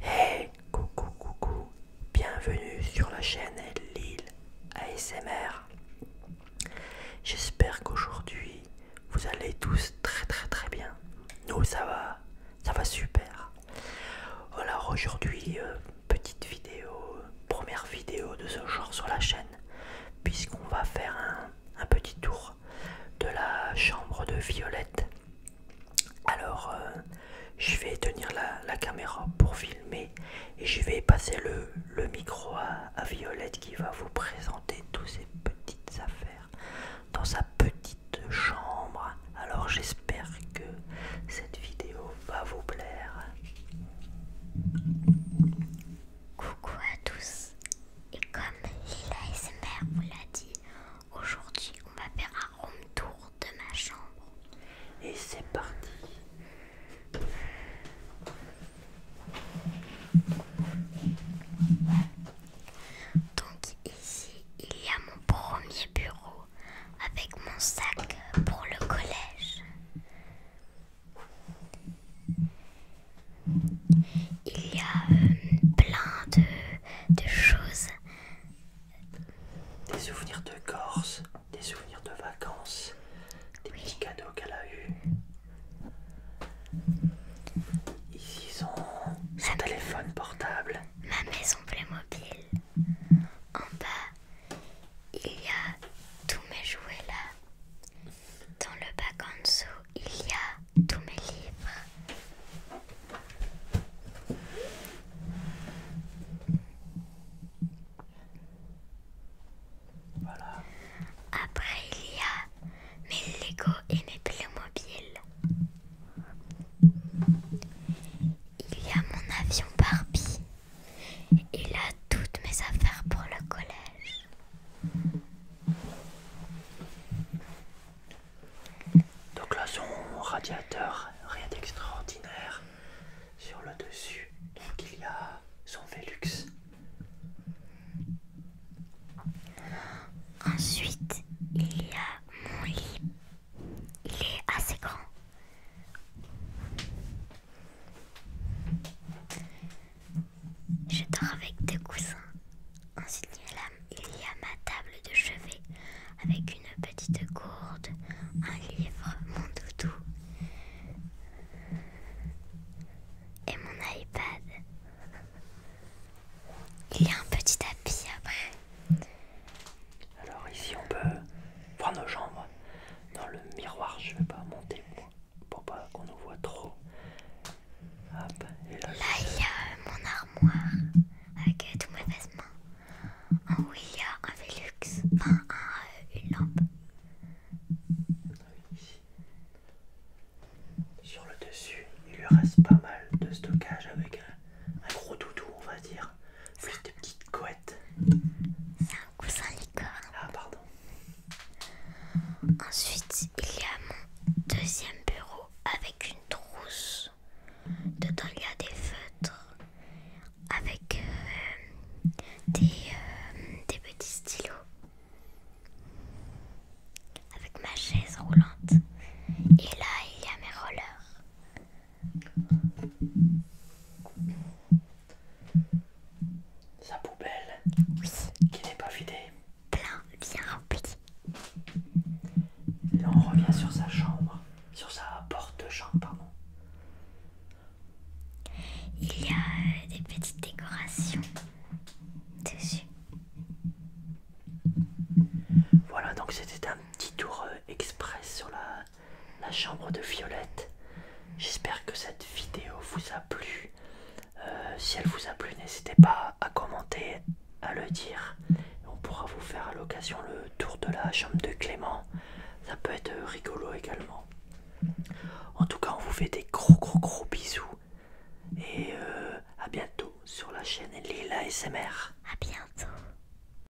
Hey, coucou, coucou, bienvenue sur la chaîne Lille ASMR. J'espère qu'aujourd'hui vous allez tous très très très bien. Nous oh, ça va, ça va super. Alors aujourd'hui, euh, petite vidéo, première vidéo de ce genre sur la chaîne, puisqu'on va faire un petit tour de la chambre de Violette alors, euh, je vais tenir la, caméra pour filmer et je vais passer le, micro à, Violette qui va vous présenter toutes ses petites affaires dans sa petite chambre. Alors, j'espère que cette vidéo va vous plaire. Coucou à tous, et comme l'ASMR vous l'a dit, aujourd'hui on va faire un room tour de ma chambre. Et c'est parti Donc ici il y a mon premier bureau avec mon sac pour le collège. Il y a euh, plein de, choses. Des souvenirs de Corse, des souvenirs de vacances, des petits cadeaux qu'elle a eu. Ici son, son téléphone portable. Ma maison Playmobil. En bas, il y a tous mes jouets là. Dans le bac en dessous, il y a tous mes livres. Voilà. Après, il y a mes Lego et mes Playmobil. Il y a mon avion Barbie. Et a toutes mes affaires pour le collège. Donc là son radiateur, rien d'extraordinaire sur le dessus. Donc il y a son Velux. Ensuite, il y a mon lit. Il est assez grand. Je dors avec deux coussins. Ensuite, il y a ma table de chevet avec une petite gourde, un livre, mon doudou et mon iPad. Il y a un petit tapis après. Alors ici on peut voir nos jambes. Dans le miroir, je ne vais pas monter pour pas qu'on nous voit trop. là, il y a euh, mon armoire avec euh, tous mes vêtements. En il y a un Velux, enfin euh, une lampe. Sur le dessus, il lui reste pas mal de stockage avec un, gros doudou, on va dire. Plus des petites couettes. C'est un coussin licorne. Ah, pardon. Ensuite, il y a mon deuxième bureau avec une trousse. Dedans, il y a des feutres avec euh, des, euh, des petits stylos. Avec ma chaise roulante. Et là, il y a mes rollers. Sa poubelle, qui n'est pas vidée. Plein, bien rempli. on revient sur sa chambre, sur sa porte de chambre, pardon. Il y a des petites décorations dessus. Voilà, donc c'était un petit tour euh, express sur la la chambre de Violette. J'espère que cette vidéo vous a plu. Euh, si elle vous a plu, n'hésitez pas à commenter, à le dire. On pourra vous faire à l'occasion le tour de la chambre de Clément. Ça peut être rigolo également. En tout cas, on vous fait des gros gros gros bisous. Et euh, à bientôt sur la chaîne Lila SMR. À bientôt.